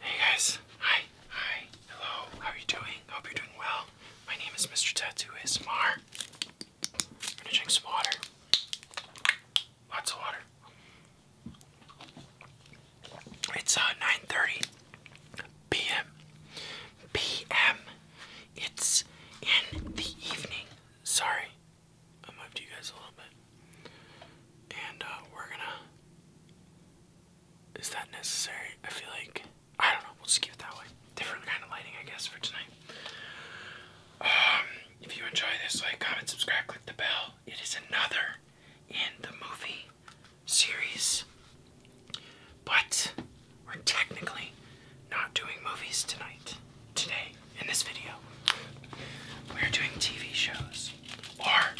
Hey guys, hi, hi, hello, how are you doing? Hope you're doing well. My name is Mr. Tattoo ASMR. I'm gonna drink some water. Lots of water. It's uh 9:30 p.m. p.m. It's in the evening. Sorry, I'm up to you guys a little bit. And uh, we're gonna. Is that necessary? I feel like. I don't know. We'll just keep that way. Different kind of lighting, I guess, for tonight. Um, if you enjoy this, like, comment, subscribe, click the bell. It is another in the movie series. But we're technically not doing movies tonight, today, in this video. We're doing TV shows or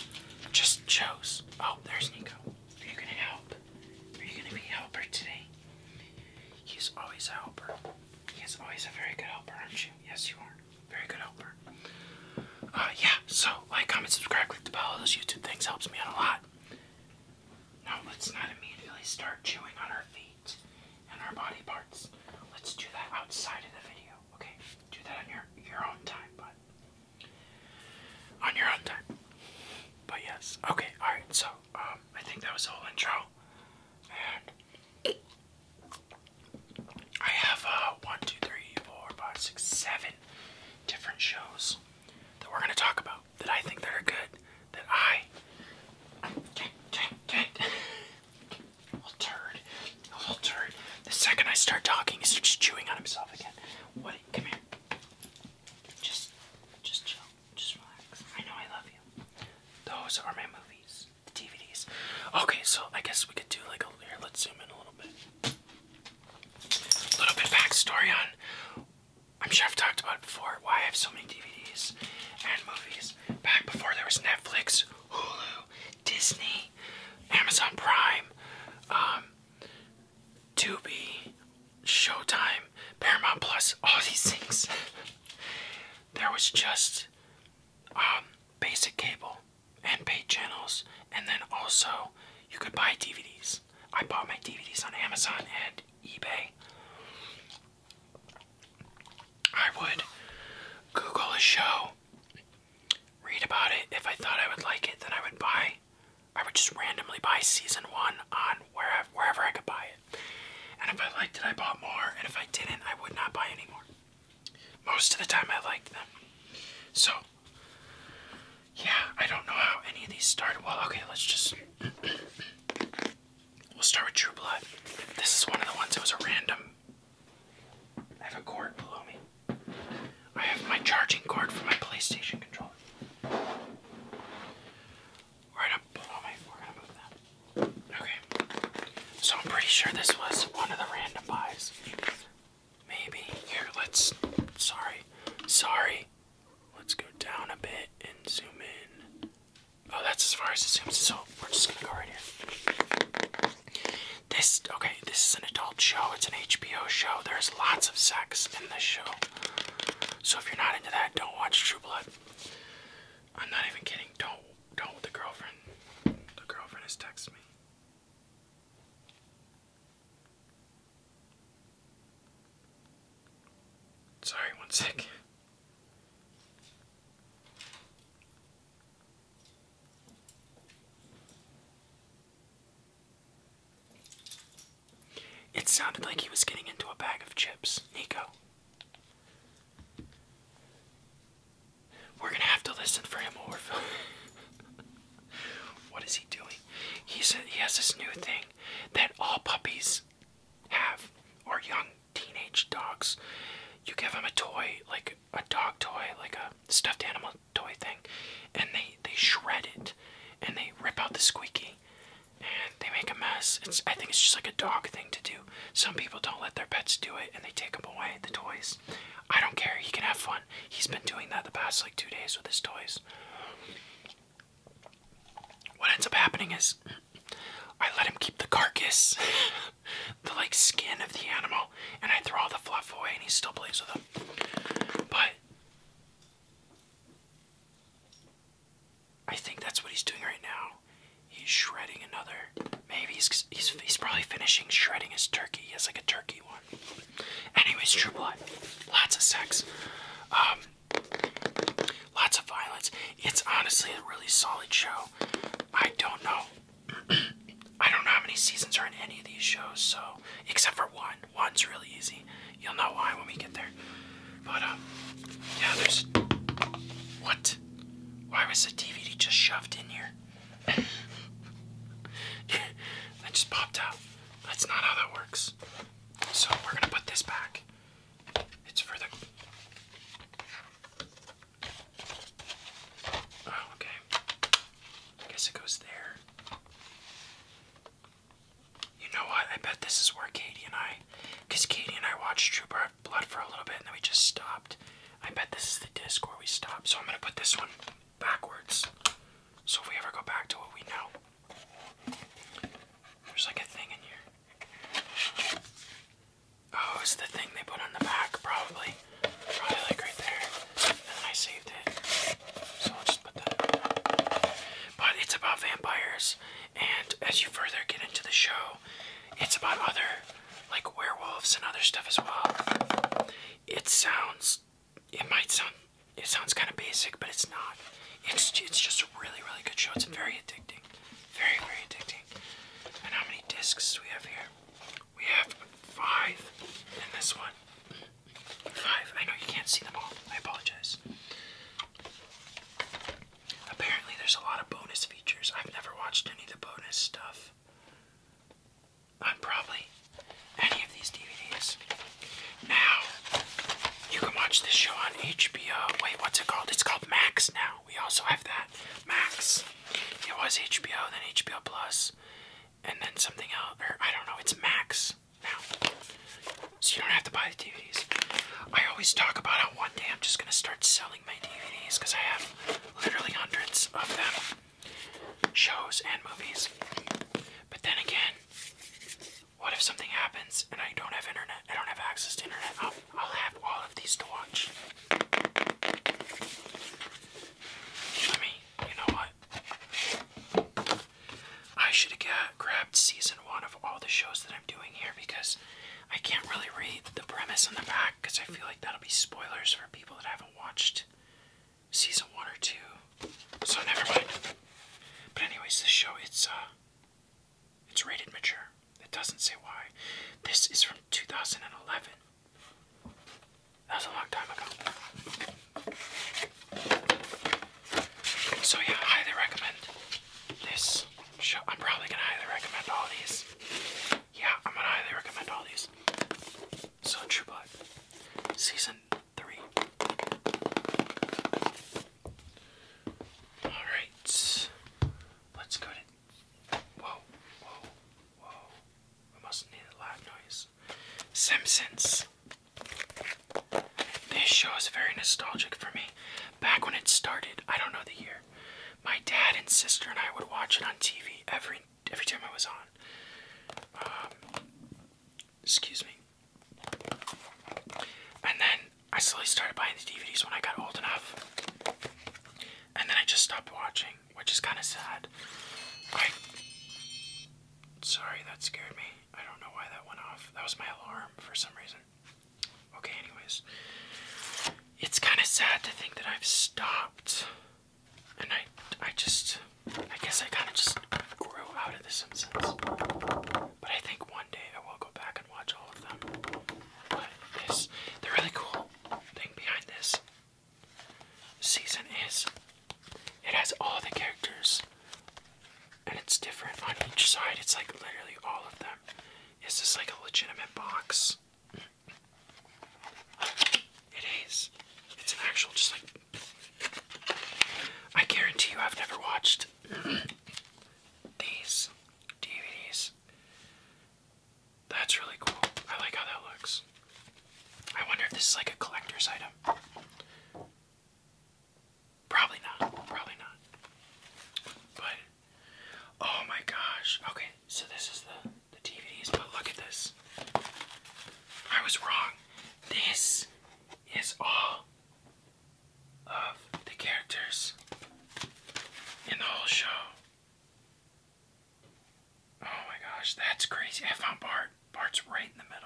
just just Oh, there's Nico. Are you gonna help? Are you gonna be a helper today? He's always a helper. He's always a very good helper, aren't you? Yes, you are. Very good helper. Uh, yeah, so like, comment, subscribe, click the bell. Those YouTube things helps me out a lot. Now let's not immediately start chewing on our feet and our body parts. Let's do that outside of the video, okay? Do that on your your own time, bud on your own time. But yes, okay, all right. So um, I think that was the whole intro, and I have uh, one, two, three, four, five, six, seven different shows that we're gonna talk about that I think that are good that I. Turd. A little turd. The second I start talking, he starts chewing on himself again. What? Come here. Just, just chill. Just relax. I know I love you. Those are my movies, the DVDs. Okay, so I guess we could do like a. Here, let's zoom in a little bit. A little bit backstory on. I'm sure I've talked about before. Why I have so many DVDs and movies. Back before there was Netflix, Hulu, Disney, Amazon Prime, um, Tubi, Showtime, Paramount Plus, all these things. there was just um, basic cable and paid channels, and then also you could buy DVDs. I bought my DVDs on Amazon and eBay. I would Google a show read about it. If I thought I would like it, then I would buy. I would just randomly buy season one on wherever, wherever I could buy it. And if I liked it, I bought more. And if I didn't, I would not buy anymore. Most of the time, I liked them. So, yeah, I don't know how any of these started. Well, okay, let's just. we'll start with True Blood. This is one of the ones that was a random I have a cord below me. I have my charging cord for my PlayStation controller. Right up below me. Okay. So I'm pretty sure this was one of the random buys. Maybe. Here, let's. Sorry. Sorry. Let's go down a bit and zoom in. Oh, that's as far as it zooms. So we're just gonna go right here. This okay, this is an adult show. It's an HBO show. There's lots of sex in this show. So if you're not into that, don't watch True Blood. I'm not even kidding. Don't don't the girlfriend. The girlfriend has texted me. Sorry, one sec. It sounded like he was getting into a bag of chips, Nico. We're gonna have to listen for him or What is he doing? He said he has this new thing that all puppies have, or young teenage dogs. You give them a toy, like a dog toy, like a stuffed animal toy thing, and they they shred it, and they rip out the squeaky, and they make a mess. It's I think it's just like a dog thing to do. Some people don't let their pets do it, and they take them away the toys. I don't care. He can have fun. He's been doing that the past like two days with his toys. What ends up happening is I let him keep the carcass, the like skin of the animal, and I throw all the fluff away, and he still plays with them. But I think that's what he's doing right now. He's shredding another. Maybe he's he's, probably finishing shredding his turkey. He has like a turkey one. Anyways, True Blood, lots of sex, um, lots of violence. It's honestly a really solid show. I don't know. I don't know how many seasons are in any of these shows, so except for one. One's really easy. You'll know why when we get there. But um, yeah, there's what? Why was the DVD just shoved in here? that just popped out. That's not how that works. So we're gonna put this back. It's for the. Oh, okay. I guess it goes there. You know what? I bet this is where Katie and I, because Katie and I watched True Blood for a little bit and then we just stopped. I bet this is the disc where we stopped. So I'm going to put this one backwards. So if we ever go back to what we know, there's like a thing in here. Oh, it's the thing they put on the back, probably. But it's about vampires, and as you further get into the show, it's about other, like werewolves and other stuff as well. It sounds, it might sound, it sounds kind of basic, but it's not. It's it's just a really really good show. It's very addicting, very very addicting. And how many discs do we have here? We have five in this one. Five. I know you can't see them all. I apologize. Apparently, there's a lot of bonus features. I've never watched any of the bonus stuff on probably any of these DVDs. Now, you can watch this show on HBO. Wait, what's it called? It's called Max now. We also have that. Max. It was HBO, then HBO Plus, and then something else, or I don't know, it's Max now. So you don't have to buy the DVDs. I always talk about how one day I'm just gonna start selling my DVDs because I have literally hundreds of them. Shows and movies. But then again, what if something happens and I don't have internet? I don't have access to internet. I'll, have all of these to watch. I mean, you know what? I should have grabbed season one of all the shows that I'm doing here because I can't really read the premise on the back because I feel like that'll be spoilers for people that haven't watched season one or two. So never mind. But anyways, this show it's uh it's rated mature. It doesn't say why. This is from 2011. That was a long time ago. So yeah, highly recommend this show. I'm probably gonna highly recommend all these. Yeah, I'm gonna highly recommend all these. So True Blood, season three. All right, let's go Whoa, whoa, whoa! We must need a loud noise. Simpsons. This show is very nostalgic for me. Back when it started, I don't know the year. My dad and sister and I would watch it on TV every every time I was on. Um, excuse me. And then I slowly started buying the DVDs when I got old enough. And then I just stopped watching, which is kind of sad. Sorry, that scared me. I don't know why that went off. That was my alarm for some reason. Okay, anyways. It's kind of sad to think that I've stopped. And I, I just, I guess I kind of just grew out of The Simpsons. But I think one day I will go back and watch all of them. But this, the really cool thing behind this season is. It has all the characters, and it's different on each side. It's like literally all of them. Is this like a legitimate box? It is. It's an actual, just like. I guarantee you, I've never watched these DVDs. That's really cool. I like how that looks. I wonder if this is like a collector's item. Probably not. Probably not. But oh my gosh. Okay, so this is the the DVDs, but look at this. I was wrong. This is all of the characters in the whole show. Oh my gosh, that's crazy. I found Bart. Bart's right in the middle.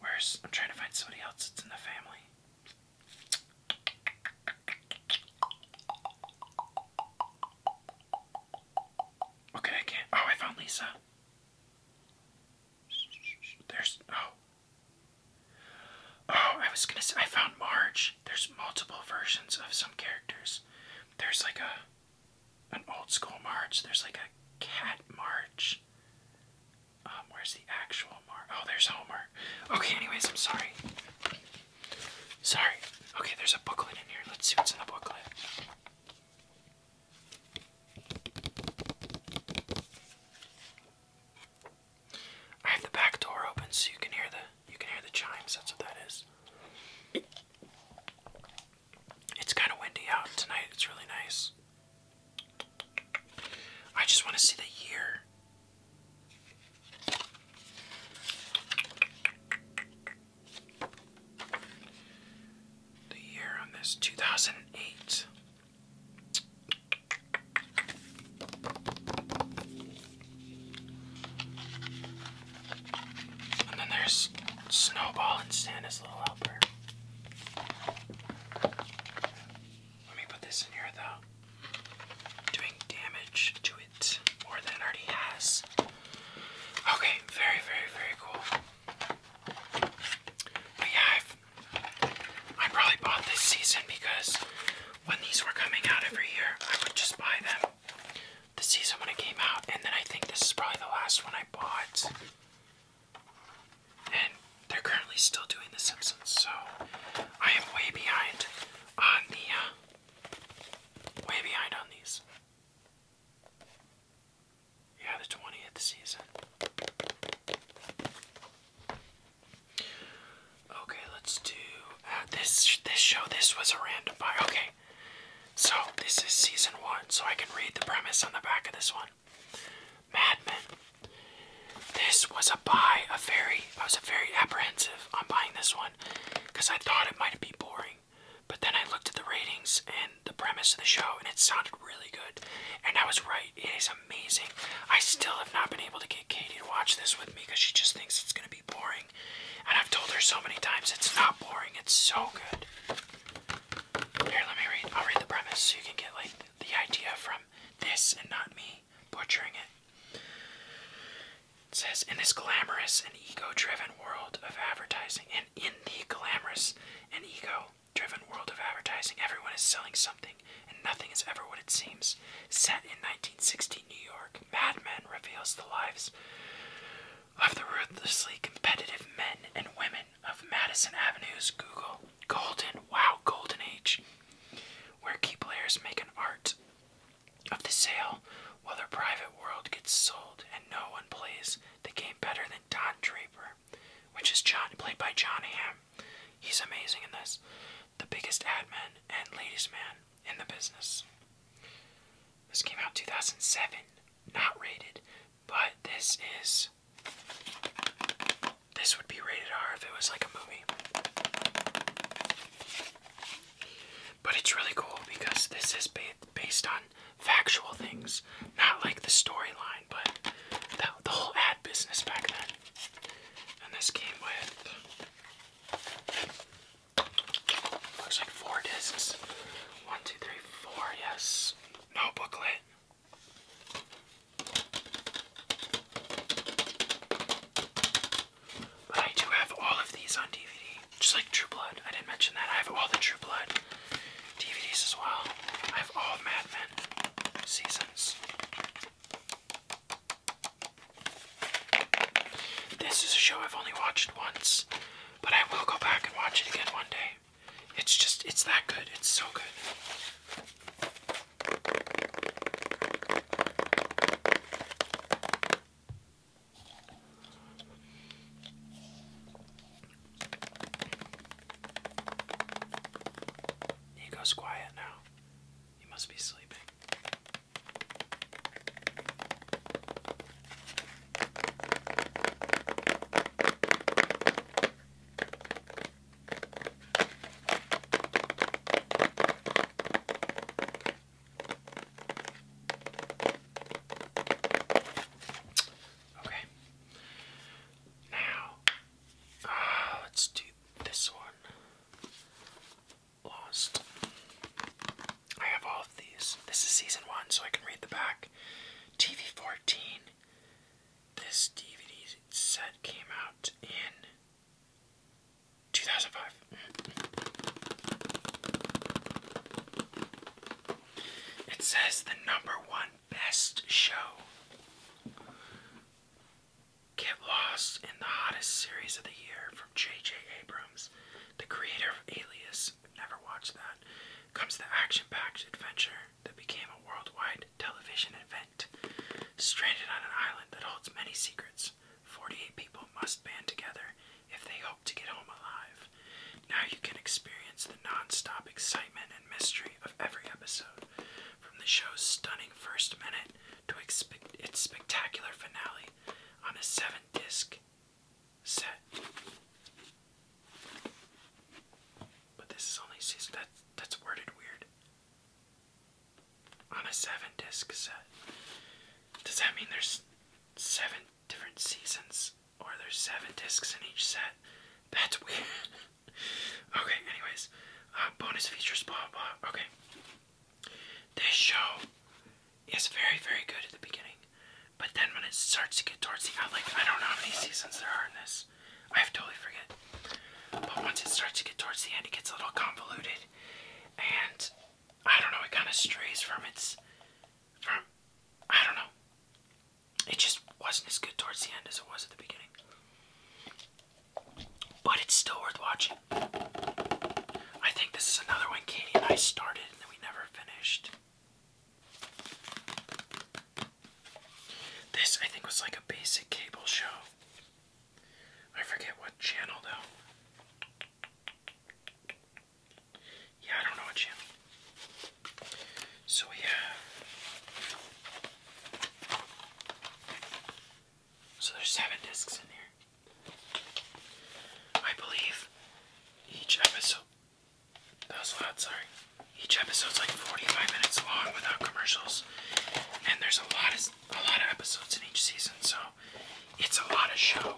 Where's I'm trying to find somebody else that's in the family. Okay, I can't. Oh, I found Lisa. There's oh. Oh, I was gonna say I found Marge there's multiple versions of some characters. There's like a an old school march. There's like a cat march. Um, where's the actual march? Oh, there's Homer. Okay, anyways, I'm sorry. Sorry. Okay, there's a booklet in here. Let's see what's in the booklet. I have the back door open so you can hear the you can hear the chimes. That's what that is. It's kind of windy out tonight. It's really nice. I just want to see the year. The year on this 2008. And then there's Snowball and Santa's little helper. Let me put this in here without doing damage to it more than it already has. Okay, very, very, very cool. But yeah, I probably bought this season because when these were coming out every year, I would just buy them the season when it came out, and then I think this is probably the last one I bought. And they're currently still doing The Simpsons, so I am way behind on the uh, way behind on these. Yeah, the twentieth season. Okay, let's do uh, this. This show, this was a random buy. Okay, so this is season one, so I can read the premise on the back of this one. Mad Men. This was a buy, a very, I was a very apprehensive on buying this one because I thought it might be boring. But then I looked at the ratings and the premise of the show, and it sounded really good. And I was right, it is amazing. I still have not been able to get Katie to watch this with me because she just thinks it's going to be boring. And I've told her so many times it's not boring, it's so good. Here, let me read. I'll read the premise so you can get like the idea from this and not me butchering It says in this glamorous and ego-driven world of advertising, and in the glamorous and ego-driven world of advertising, everyone is selling something, and nothing is ever what it seems. Set in 1960 New York, Mad Men reveals the lives of the ruthlessly competitive men and women of Madison Avenue's Google Golden Wow Golden Age, where key players make an art of the sale while their private world gets sold and no one plays the game better than Don Draper, which is John played by John Hamm. He's amazing in this. The biggest ad man and ladies man in the business. This came out 2007, not rated, but this is this would be rated R if it was like a movie. But it's really cool because this is ba based on factual things, not like the storyline, but the, the whole ad business back then. And this came with Looks like four discs. One, two, three, four. Yes. No booklet. But I do have all of these on DVD, just like True Blood. I didn't mention that. I have all the True Blood DVDs as well. I have all Mad Men seasons. This is a show I've only watched once. But I will go back and watch it again one day. It's just, it's that good. It's so good. He goes quiet now. He must be sleeping. Okay. Now, uh, let's do this one. Lost. I have all of these. This is season one, so I can read the back. TV 14. This DVD set came out in 2005. It says the number one best show. Get lost in the hottest series of the year from J.J. Abrams, the creator of Alias, never watched that, comes the action packed adventure that became a worldwide television event. Stranded on an island that holds many secrets, 48 people must band together if they hope to get home alive. Now you can experience the non stop excitement and mystery of every episode, from the show's stunning first minute to its spectacular finale on a seven disc set. But this is only six. that's worded weird. On a seven disc set. Does that mean there's seven different seasons, or there's seven discs in each set? That's weird. okay. Anyways, uh, bonus features. Blah blah. Okay. This show it's very, very good at the beginning. But then when it starts to get towards the end, like I don't know how many seasons there are in this. I totally forget. But once it starts to get towards the end, it gets a little convoluted, and I don't know. It kind of strays from its, from, I don't know. It just wasn't as good towards the end as it was at the beginning. But it's still worth watching. I think this is another one Katie and I started and then we never finished. This, I think, was like a basic cable show. I forget what channel, though. Yeah, I don't know what channel. So we So there's seven discs in here. I believe each episode. That was loud, sorry. Each episode's like 45 minutes long without commercials. And there's a lot of a lot of episodes in each season, so it's a lot of show.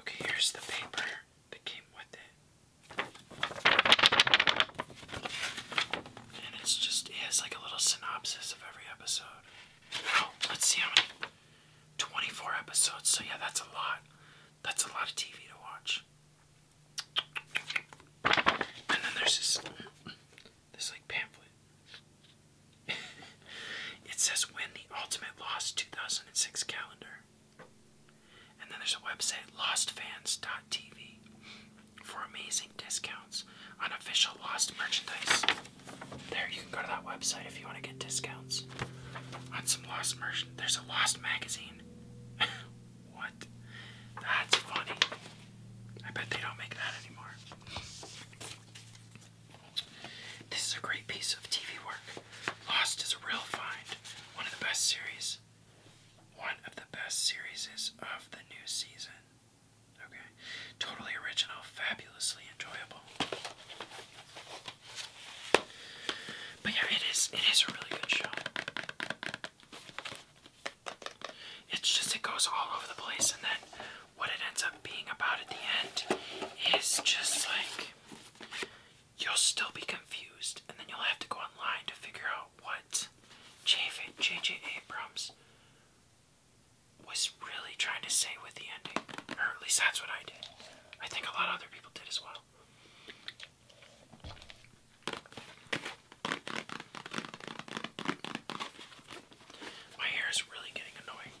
Okay, here's the paper that came with it. And it's just it has like a little synopsis of every episode. Oh, let's see how many 24 episodes. So yeah, that's a lot. That's a lot of TV to watch. And then there's this this like pamphlet. it says win the ultimate lost 2006 calendar. And then there's a website lostfans.tv for amazing discounts on official Lost merchandise. There you can go to that website if you want to get discounts on some Lost merch there's a lost magazine. what? That's funny. I bet they don't make that anymore. This is a great piece of TV work. Lost is a real find. One of the best series. One of the best series of the new season. Okay. Totally original, fabulously enjoyable. But yeah, it is it is a really good show. It's just it goes all over the place and then what it ends up being about at the end is just like you'll still be confused and then you'll have to go online to figure out what J.J. J. Abrams was really trying to say with the ending. Or at least that's what I did. I think a lot of other people did as well. My hair is really getting annoying.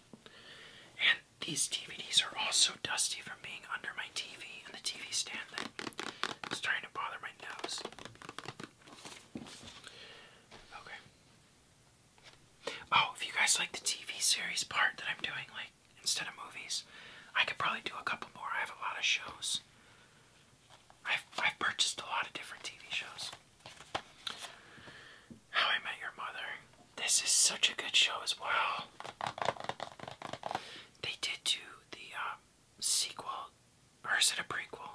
And these DVDs are all dusty from being under my TV and the TV stand it's trying to bother my nose. Okay. Oh, if you guys like the TV series part that I'm doing like instead of movies. I could probably do a couple more. I have a lot of shows. I've I've purchased a lot of different TV shows. How I Met Your Mother. This is such a good show as well. They did do the um, sequel, or is it a prequel?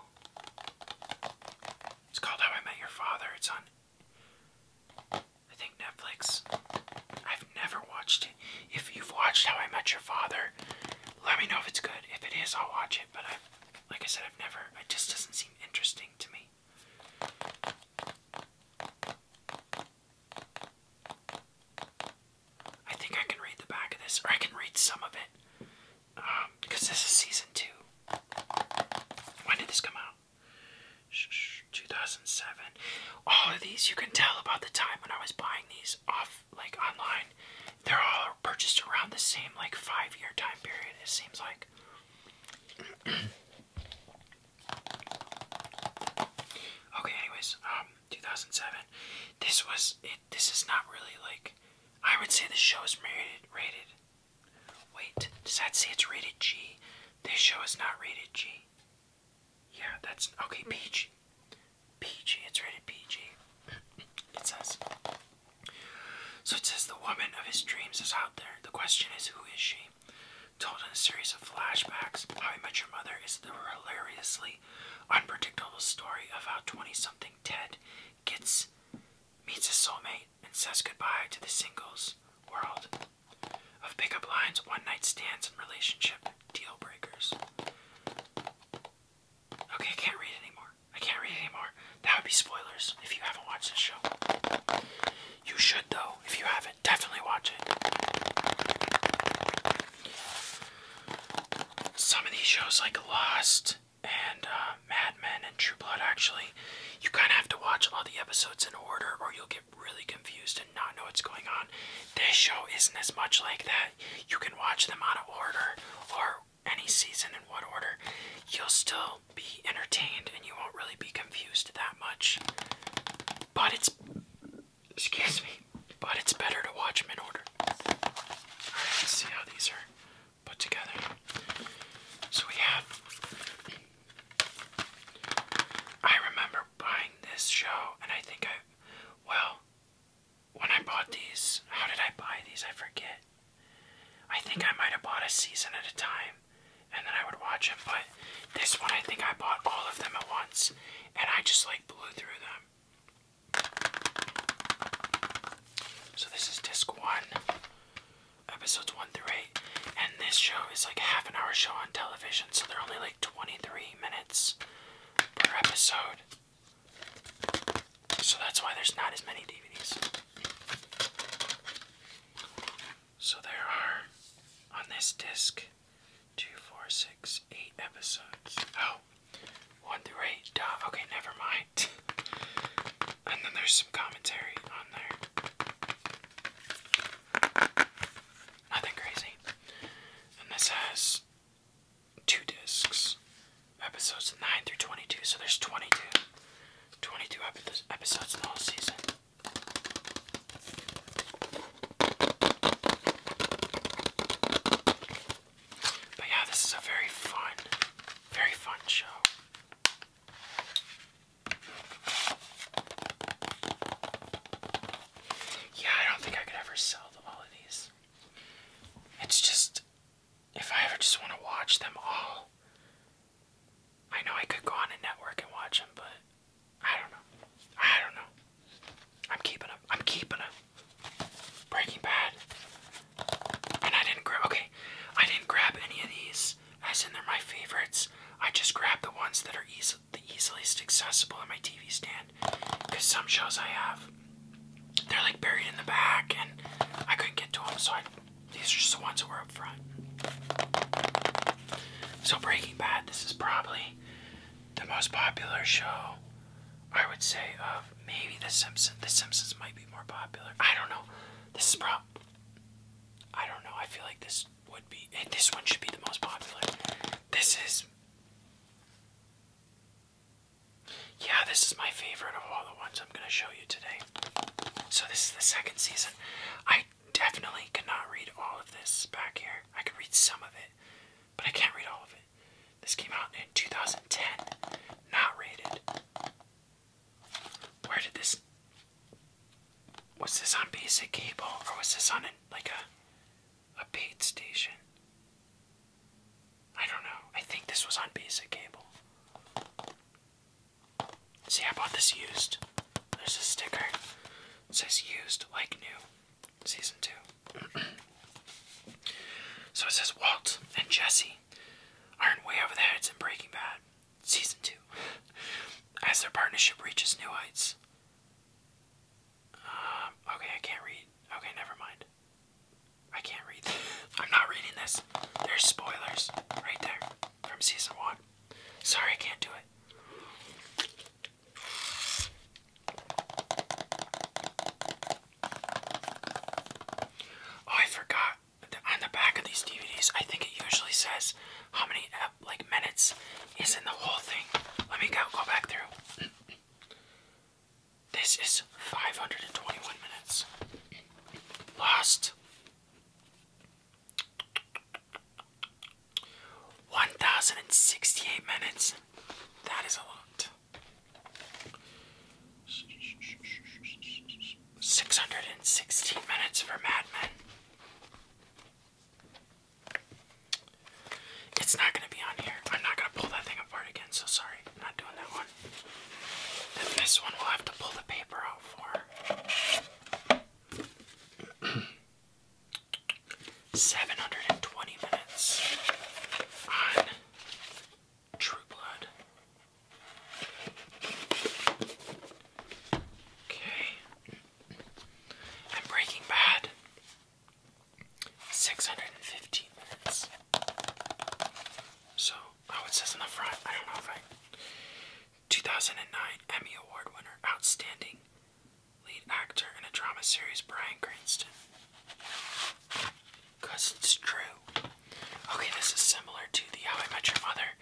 It's called How I Met Your Father. It's on I think Netflix. I've never watched it. If you've watched How I Met Your Father, let me know if it's good. If it is, I'll watch it. But I, like I said, I've never. It just doesn't seem interesting to me. I think I can read the back of this, or I can read some of it, because um, this is season two. When did this come out? 2007. All of these you can tell about the time when I was buying these off like online. They're all purchased around the same like five year time period, it seems like. okay, anyways, um, 2007. This was it. This is not really like I would say this show is rated. rated. Wait, does that say it's rated G? This show is not rated G. Yeah, that's okay. PG, mm. PG. It's rated PG. It says. So it says the woman of his dreams is out there. The question is, who is she? Told in a series of flashbacks, How I Met Your Mother is the hilariously unpredictable story of how 20-something Ted gets meets his soulmate and says goodbye to the singles world of pickup lines, one night stands, and relationship deal breakers. Okay, I can't read anymore. I can't read anymore. That would be spoilers if you haven't watched this show. You should, though. If you haven't, definitely watch it. Some of these shows, like Lost and uh, Mad Men and True Blood, actually, you kind of have to watch all the episodes in order or you'll get really confused and not know what's going on. This show isn't as much like that. You can watch them out of order or any season in what order. You'll still be entertained and you won't really be confused that much. But it's excuse me. But it's better to watch them in order. Alright, see how these are put together. So we have I remember buying this show, and I think I, well, when I bought these, how did I buy these? I forget. I think I might have bought a season at a time, and then I would watch them, but this one I think I bought all of them at once, and I just like blew through them. So this is disc one, episodes one through eight, and this show is like half an hour show on television so they're only like 23 minutes per episode. So that's why there's not as many DVDs. So there are on this disc two, four, six, eight episodes. Oh, one through eight. Okay, never mind. and then there's some commentary on there. Nothing crazy. And this has two discs. Episodes 9 through 22. So there's 22. 22 episodes in the whole season. But yeah, this is a very fun, very fun show. Yeah, I don't think I could ever sell all of these. It's just, if I ever just want to watch them all, I know I could go on a network and watch them, but I don't know. I don't know. I'm keeping them. I'm keeping them. Breaking Bad. And I didn't grab, okay, I didn't grab any of these as in they're my favorites. I just grabbed the ones that are easily the easiest accessible on my TV stand. Because some shows I have, they're like buried in the back, and I couldn't get to them, so I, these are just the ones that were up front. So, Breaking Bad, this is probably the most popular show, I would say, of maybe The Simpsons. The Simpsons might be more popular. I don't know. This is probably. I don't know. I feel like this would be. And this one should be the most popular. This is. Yeah, this is my favorite of all the ones I'm going to show you today. So, this is the second season. I definitely could not read all of this back here. I could read some of it, but I can't read all of it. This came out in 2010, not rated. Where did this. Was this on basic cable or was this on like a a paid station. I don't know. I think this was on basic cable. See, I bought this used. There's a sticker. says used like new. Season 2. so it says Walt and Jesse aren't way over their heads in Breaking Bad. Season 2. As their partnership reaches new heights. Um, okay, I can't read. Okay, never mind. I can't read. I'm not reading this. There's spoilers right there from season one. Sorry, I can't do it. Oh, I forgot. On the back of these DVDs, I think it usually says how many like minutes is in the whole thing. Let me go go back through. This is 521 minutes. Lost 1068 minutes. That is a lot. 616 minutes for Mad Men. It's not gonna be on here. I'm not gonna pull that thing apart again, so sorry. I'm not doing that one. this one we'll have to pull the paper out for. 720 minutes on True Blood. Okay. And Breaking Bad 615 minutes. So, oh, it says on the front, I don't know if I. 2009 Emmy Award winner, outstanding lead actor in a drama series, Brian Cranston. Because it's Okay, this is similar to the How I Met Your Mother.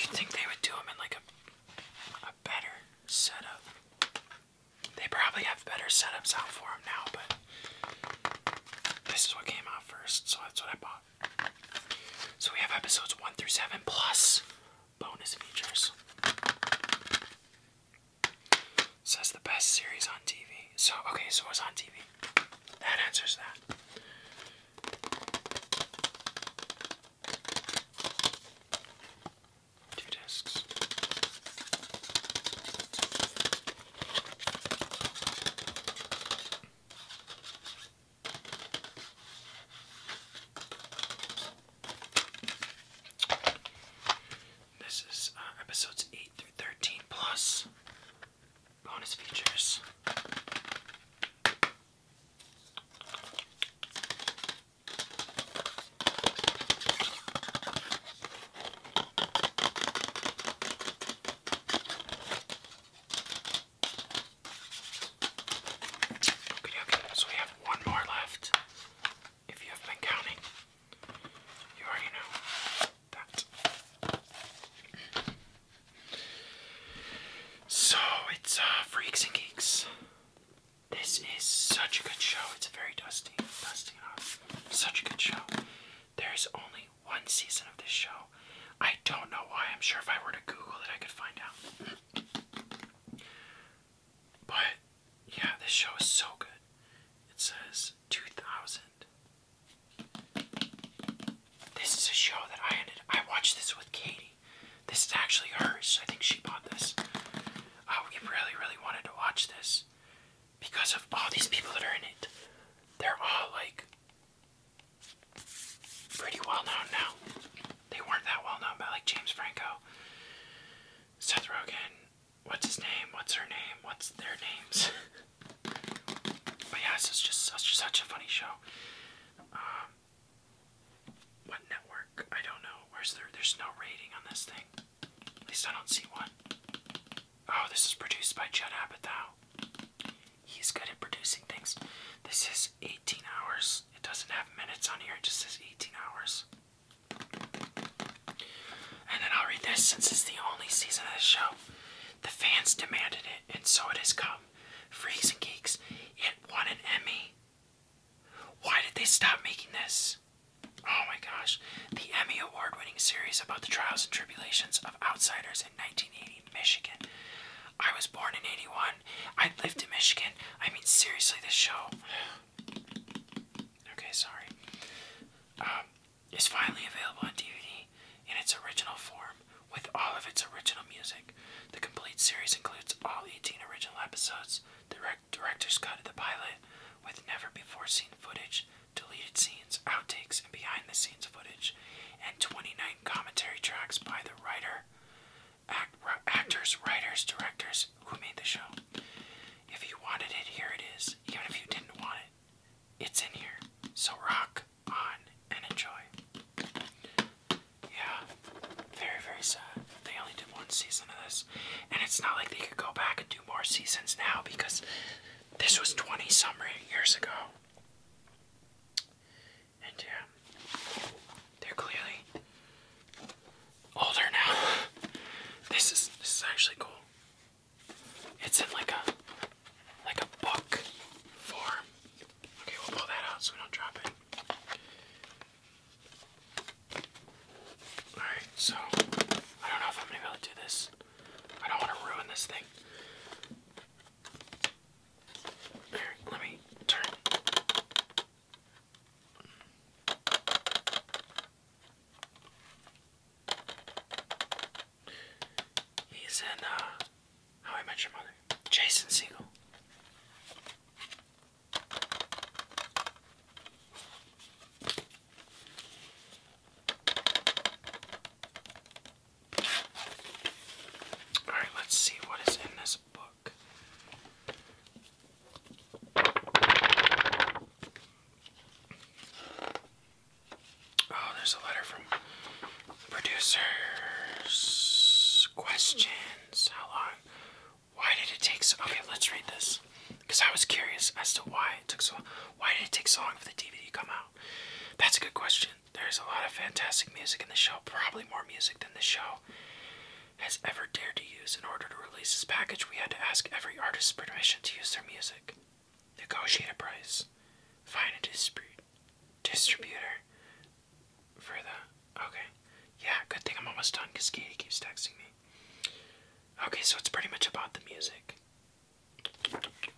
You'd think they would do them in like a, a better setup. They probably have better setups out for them now, but this is what came out first, so that's what I bought. So we have episodes 1 through 7 plus bonus features. Says the best series on TV. So, okay, so it's on TV. That answers that. This is uh, episodes 8 through 13 plus bonus features so we have one more left. If you have been counting, you already know that. So it's uh, Freaks and Geeks. This is such a good show. It's very dusty, dusting off. Such a good show. There's only one season of this show. I don't know why. I'm sure if I were to Google it, I could find out. But yeah, this show is so good. It says 2000. This is a show that I ended. I watched this with Katie. This is actually hers. I think she bought this oh, we really, really wanted to watch this because of all these people that are in it. They're all like pretty well known now. They weren't that well known, but like James Franco, Seth Rogen, what's his name? What's her name? What's their names? but yeah, it's just such, such a funny show. Um, what network? I don't know. Where's there? There's no rating on this thing. At least I don't see one. Oh, this is produced by Judd Apatow. He's good at producing things. This is 18 hours. It doesn't have minutes on here, it just says 18 hours. And then I'll read this since it's the only season of the show. The fans demanded it, and so it has come. Freaks and Geeks, it won an Emmy. Why did they stop making this? Oh my gosh. The Emmy Award winning series about the trials and tribulations of outsiders in 1980 Michigan. I was born in 81. I lived in Michigan. I mean, seriously, this show. okay, sorry. Um, is finally available on DVD in its original form with all of its original music. The complete series includes all 18 original episodes, director's cut of the pilot with never before seen footage, deleted scenes, outtakes, and behind the scenes footage, and 29 commentary tracks by the writer, actors, writers, directors who made the show. If you wanted it, here it is. Even if you didn't want it, it's in here. So rock on and enjoy. Yeah, very, very sad. They only did one season of this. And it's not like they could go back and do more seasons now because this was 20 some years ago. And yeah, they're clearly older now. This is this is actually cool. It's in like a like a book form. Okay, we'll pull that out so we don't drop it. Alright, so I don't know if I'm gonna be able to do this. I don't want to ruin this thing. let me turn. He's in uh, How I Met Your Mother. Jason Siegel. All right, let's see what is in this book. Oh, there's a letter from producers. Questions. How long why did it take so? Okay, let's read this because I was curious as to why it took so. Why did it take so long for the DVD to come out? That's a good question. There is a lot of fantastic music in the show, probably more music than the show has ever dared to use. In order to release this package, we had to ask every artist's permission to use their music, negotiate a price, find a distrib distributor for the. Okay. Yeah, good thing I'm almost done because Katie keeps texting me. Okay, so it's pretty much about the music. Okay,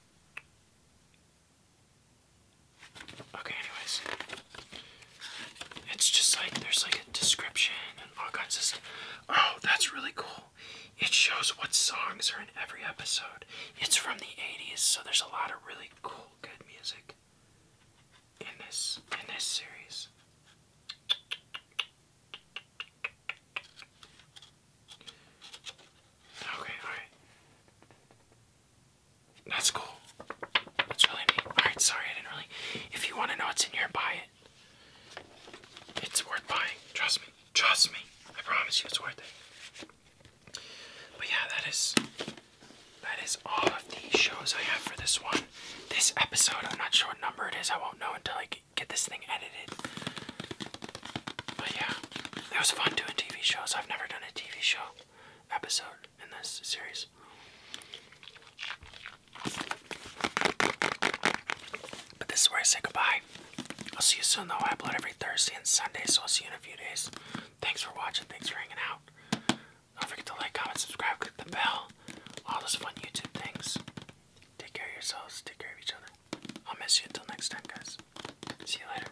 anyways. It's just like there's like a description and all kinds of stuff. Oh, that's really cool. It shows what songs are in every episode. It's from the 80s, so there's a lot of really cool, good music in this in this series. Okay, alright. That's cool. That's really neat. Alright, sorry, I didn't really. If you want to know what's in here, buy it. It's worth buying. Trust me. Trust me. I promise you it's worth it. But yeah, that is that is all of the shows I have for this one. This episode, I'm not sure what number it is. I won't know until like get this thing edited. But yeah, it was fun doing TV shows. I've never done a TV show episode in this series. But this is where I say goodbye. I'll see you soon though. I upload every Thursday and Sunday, so I'll see you in a few days. Thanks for watching. Thanks for hanging out. Don't forget to like, comment, subscribe, click the bell. All those fun YouTube things. Take care of yourselves. Take care of each other. I'll miss you until next time, guys. See you later.